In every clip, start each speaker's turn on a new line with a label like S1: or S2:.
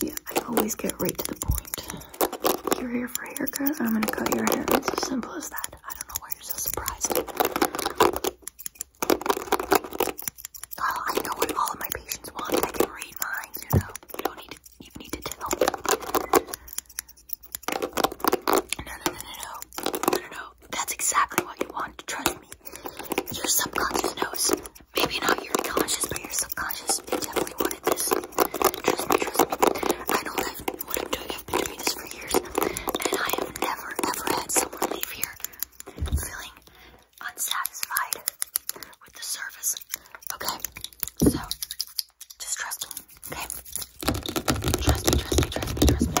S1: Yeah, I always get right to the point. You're here for a haircut? I'm gonna cut your hair. It's as simple as that. I don't know why you're so surprised. Oh, I know what all of my patients want. I can read mine, you know. You don't need to even need to tell. no, no, no, no, no, no, no. That's exactly what you want, trust me. Your subconscious knows. Maybe not your conscious, but your subconscious It definitely wanted this. Trust me, trust me. I know I've been doing this for years, and I have never, ever had someone leave here feeling unsatisfied with the service. Okay? So, just trust me, okay? Trust me, trust me, trust me, trust me, trust me.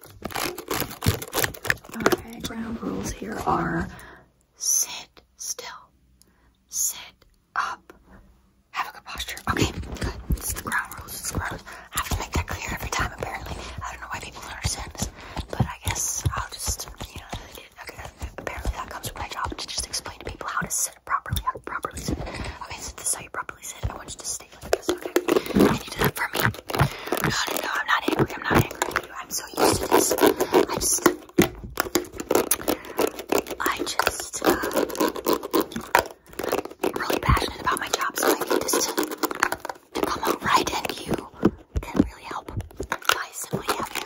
S1: Alright, ground rules here are sit still, sit up, have a good posture. Okay, good. It's the ground rules. It's ground rules. I have to make that clear every time, apparently. I don't know why people don't understand this, but I guess I'll just, you know, okay, apparently that comes with my job to just explain to people how to sit properly, how to properly sit. Okay, so this is how you properly sit. I want you to stay focus, okay? You for me. No, no, no, I'm not angry. I'm not angry with you. I'm so used to this. I just, I just, I'm really passionate about my job, so I need this um, uh, uh, uh, to, come out right, and you um, can really help. I simply have to good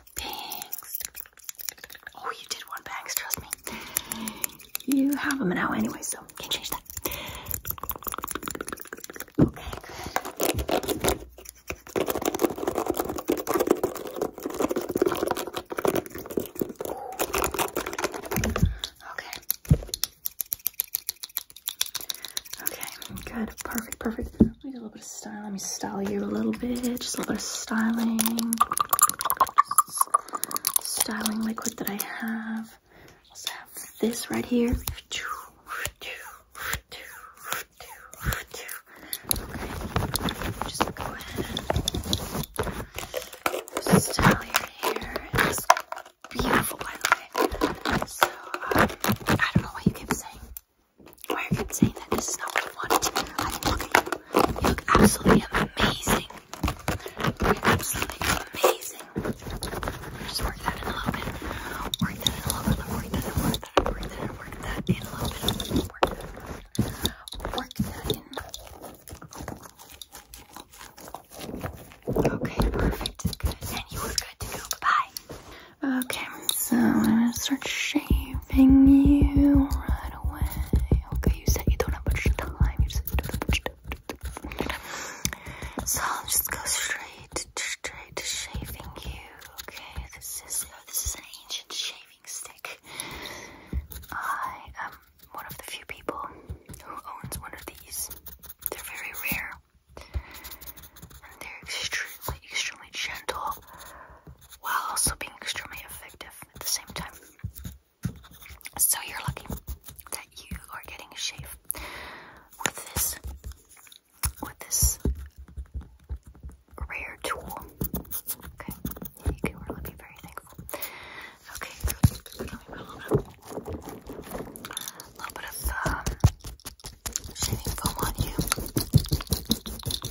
S1: bangs. Oh, you did want bangs, trust me. You have them now anyway, so can't change that. Okay, Okay. good. Perfect, perfect. Let me style you a little bit. Just a little bit of styling. styling liquid that I have. Also have this right here. Just go ahead. Style your hair. It's beautiful, by the way. So uh, I don't know what you keep saying. Or I could say that this is not what I wanted. I mean, look at you. You look absolutely amazing. You're absolutely amazing. Just work that in a little bit. Work that in a little bit. Work that in, work that in, work that in, work that in a little bit. Work that in. Work that in. Okay, perfect. Good. And you were good to go. Bye bye. Okay, so I'm gonna start shaving loving you right away. Okay, you said you don't have much time. You said So I'll just go straight, straight to shaving you. Okay, this is this is an ancient shaving stick. I am one of the few people who owns one of these. They're very rare. And they're extremely, extremely gentle while also being extremely effective at the same time. So you're lucky that you are getting a shave with this with this rare tool. Okay, you can really be very thankful. Okay, a little bit, of um, shaving foam on you.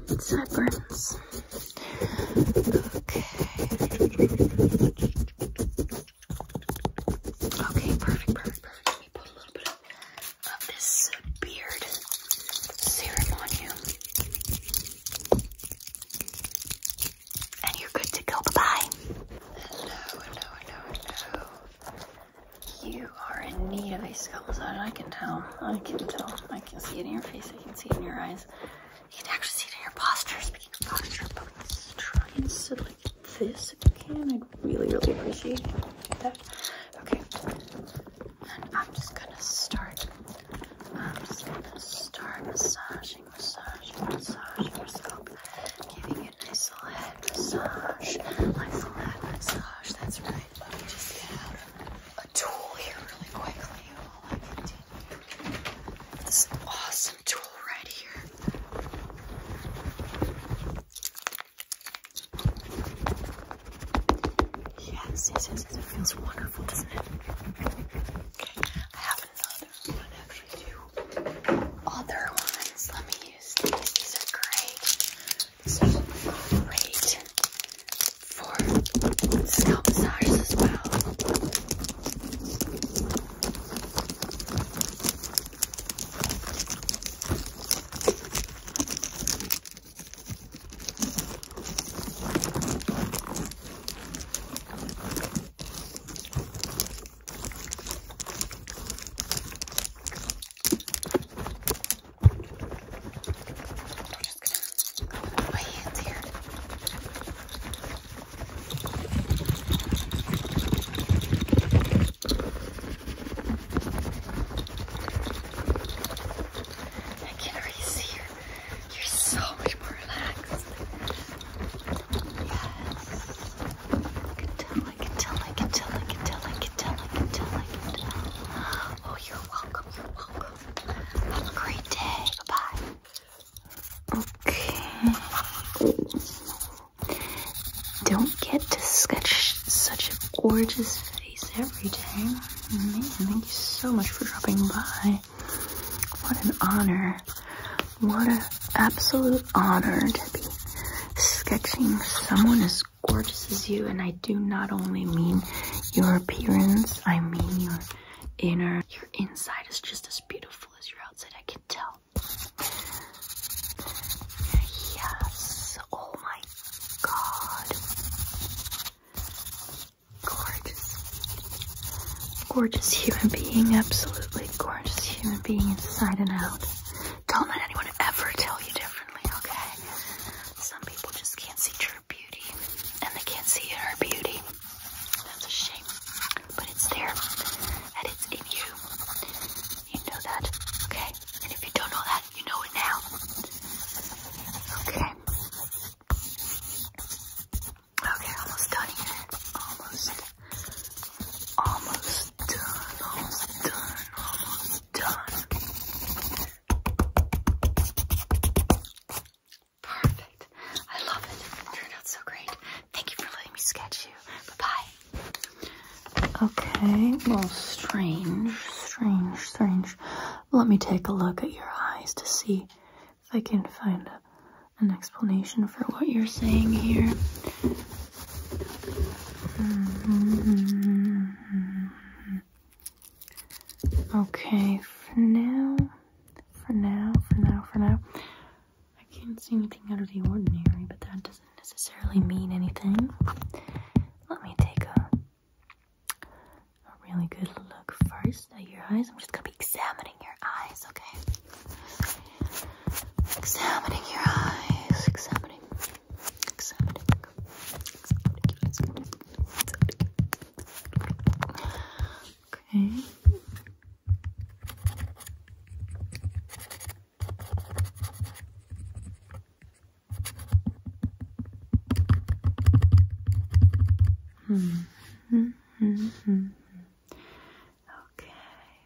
S1: sideburns. Okay. Okay, perfect, perfect, perfect. Let put a little bit of this beard serum on you. And you're good to go. Bye you are in need of a scalp massage. I can tell. I can tell. I can see it in your face. I can see it in your eyes. You can actually see it in your posture. Speaking of posture, please try and sit like this if you can. I'd really, really appreciate that. Okay. And I'm just gonna start. I'm just gonna start massaging, massaging, massaging your scalp. Giving it a nice little head massage. Nice little head massage. That's right. Let me just get out of a tool here really quickly while I continue. This awesome tool right here. Yes, yes, yes, yes, it feels wonderful, doesn't it? I have another one actually, two other ones. Let me use these. These are great. So great for scalp massages as well. I'm just going can already see you're, you're so much more relaxed. Yes. I can tell, I can tell, I can tell, I can tell, I can tell, I can tell. Oh, you're welcome, you're welcome. Have a great day. Bye-bye. Okay. Don't get to sketch such a gorgeous face every day. Amazing. Thank you so much for dropping by. What an honor. What an absolute honor to be sketching someone as gorgeous as you, and I do not only mean your appearance, I mean your inner, your inside is just as beautiful as your outside, I can tell. Yes, oh my god. Gorgeous. Gorgeous human being, absolutely gorgeous human being inside and out. Don't let anyone ever tell you differently, okay? Some people just can't see true beauty, and they can't see inner beauty. That's a shame, but it's there, and it's in you. You know that, okay? And if you don't know that, you know it now. Okay. Okay, almost done here. Almost. Almost done. Almost done. Almost done. Perfect. I love it. Turned out so great. Thank you for letting me sketch you. Bye-bye. Okay, well, strange, strange, strange. Let me take a look at your eyes to see if I can find an explanation for what you're saying here. Mm-hmm. Okay, for now, for now, for now, for now, I can't see anything out of the ordinary, but that doesn't necessarily mean anything. Let me take a, a really good look first at your eyes. I'm just gonna be examining your eyes, okay? Examining your eyes, examining exotic, exotic, exotic, exotic. Hmm. okay.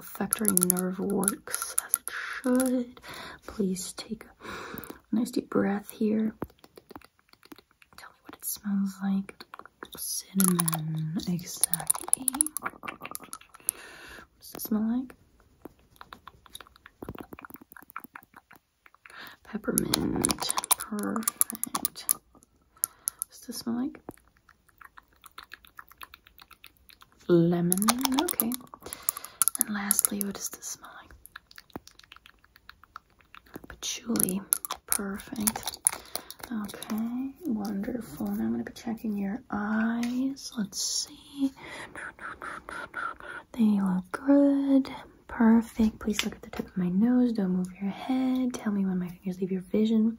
S1: olfactory nerve works as it should. Please take a nice deep breath here. Tell me what it smells like. Cinnamon, exactly. What does it smell like? Peppermint, perfect. What does it smell like? Lemon, okay. And lastly, what is this smell like? Patchouli, perfect. Okay, wonderful. Now I'm gonna be checking your eyes. Let's see. They look good. Perfect. Please look at the tip of my nose. Don't move your head. Tell me when my fingers leave your vision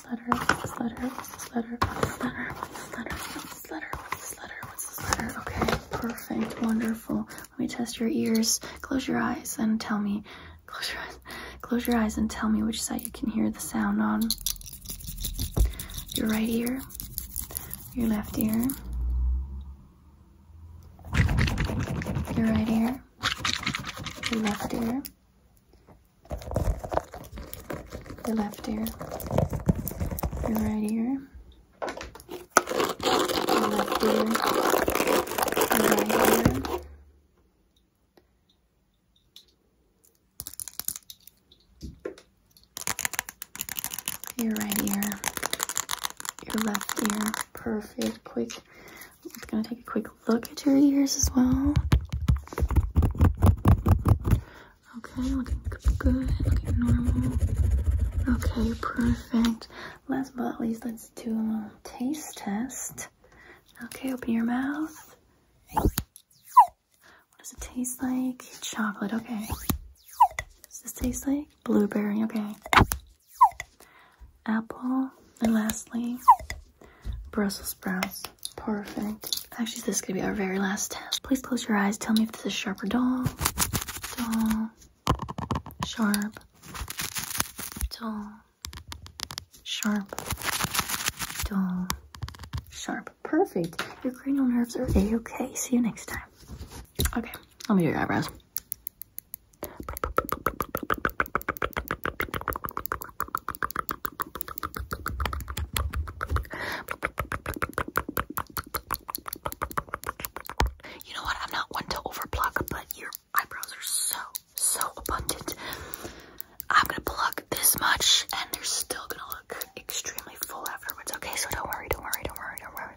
S1: What's this letter? What's this letter? What's this letter? What's this letter? What's this letter? What's this letter? What's this letter? Okay, perfect, wonderful. Let me test your ears. Close your eyes and tell me. Close your eyes. Close your eyes and tell me which side you can hear the sound on. Your right ear. Your left ear. Your right ear. Your left ear your left ear, your right ear, your left ear, right ear. Your right ear, your left ear, perfect, quick. I'm gonna take a quick look at your ears as well. Okay, looking good, looking normal. Okay, perfect. Last but not least, let's do a taste test. Okay, open your mouth. What does it taste like? Chocolate, okay. Does this taste like? Blueberry, okay. Apple. And lastly, Brussels sprouts. Perfect. Actually, this is gonna be our very last test. Please close your eyes. Tell me if this is sharper, or dull. Dull. Sharp. Dull. Sharp. Dull. Sharp. Perfect. Your cranial nerves are a-okay. See you next time. Okay, let me do your eyebrows. You know what? I'm not one to overpluck, but your eyebrows are so, so abundant. I'm gonna pluck this much, and they're still gonna look extremely full afterwards. Okay, so don't worry, don't worry, don't worry, don't worry.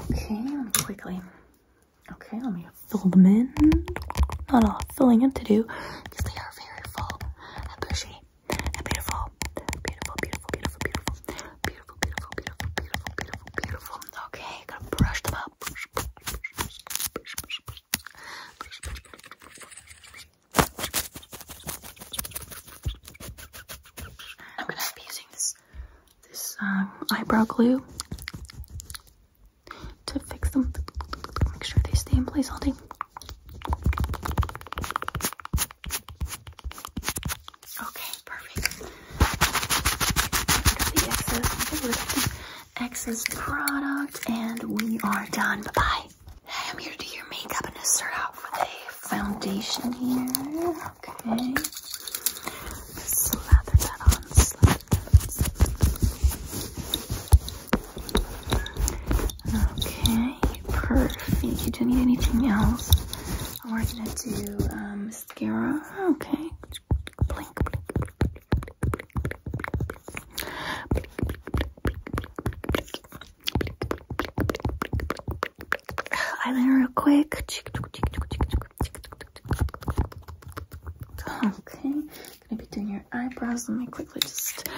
S1: Okay, quickly. Okay, let me fill them in. Not all filling in to do, because they are very full and bushy and beautiful. Beautiful, beautiful, beautiful, beautiful, Beautiful, beautiful, beautiful, beautiful, beautiful, beautiful. Okay, gonna brush them up. I'm gonna be using this this um, eyebrow glue to fix them. Make sure they stay in place all day. Okay, perfect. Pick the excess, excess product, and we are done. Bye I'm here to do your makeup and start out with a foundation here. Okay. Slather that on. Okay, perfect. You don't need anything else. We're going to do um, mascara. Okay. Blink, blink, Eyeliner real quick. Okay, gonna be doing your eyebrows. Let me quickly just.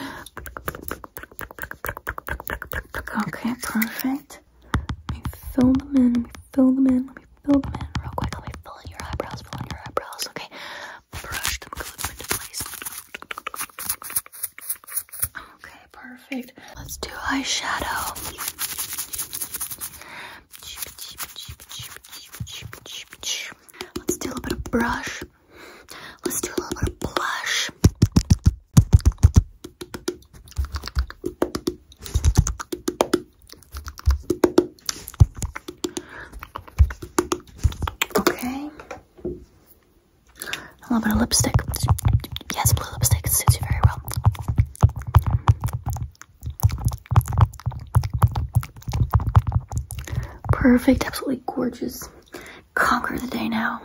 S1: Okay, perfect. Let me fill them in. Let me fill them in. Let me fill them in real quick. Let me fill in your eyebrows. Fill in your eyebrows. Okay. Brush them, good place. Okay, perfect. Let's do eyeshadow. Let's do a little bit of brush. Let's do a little bit of blush. Okay. A little bit of lipstick. Yes, blue lipstick suits you very well. Perfect, absolutely gorgeous. Conquer the day now.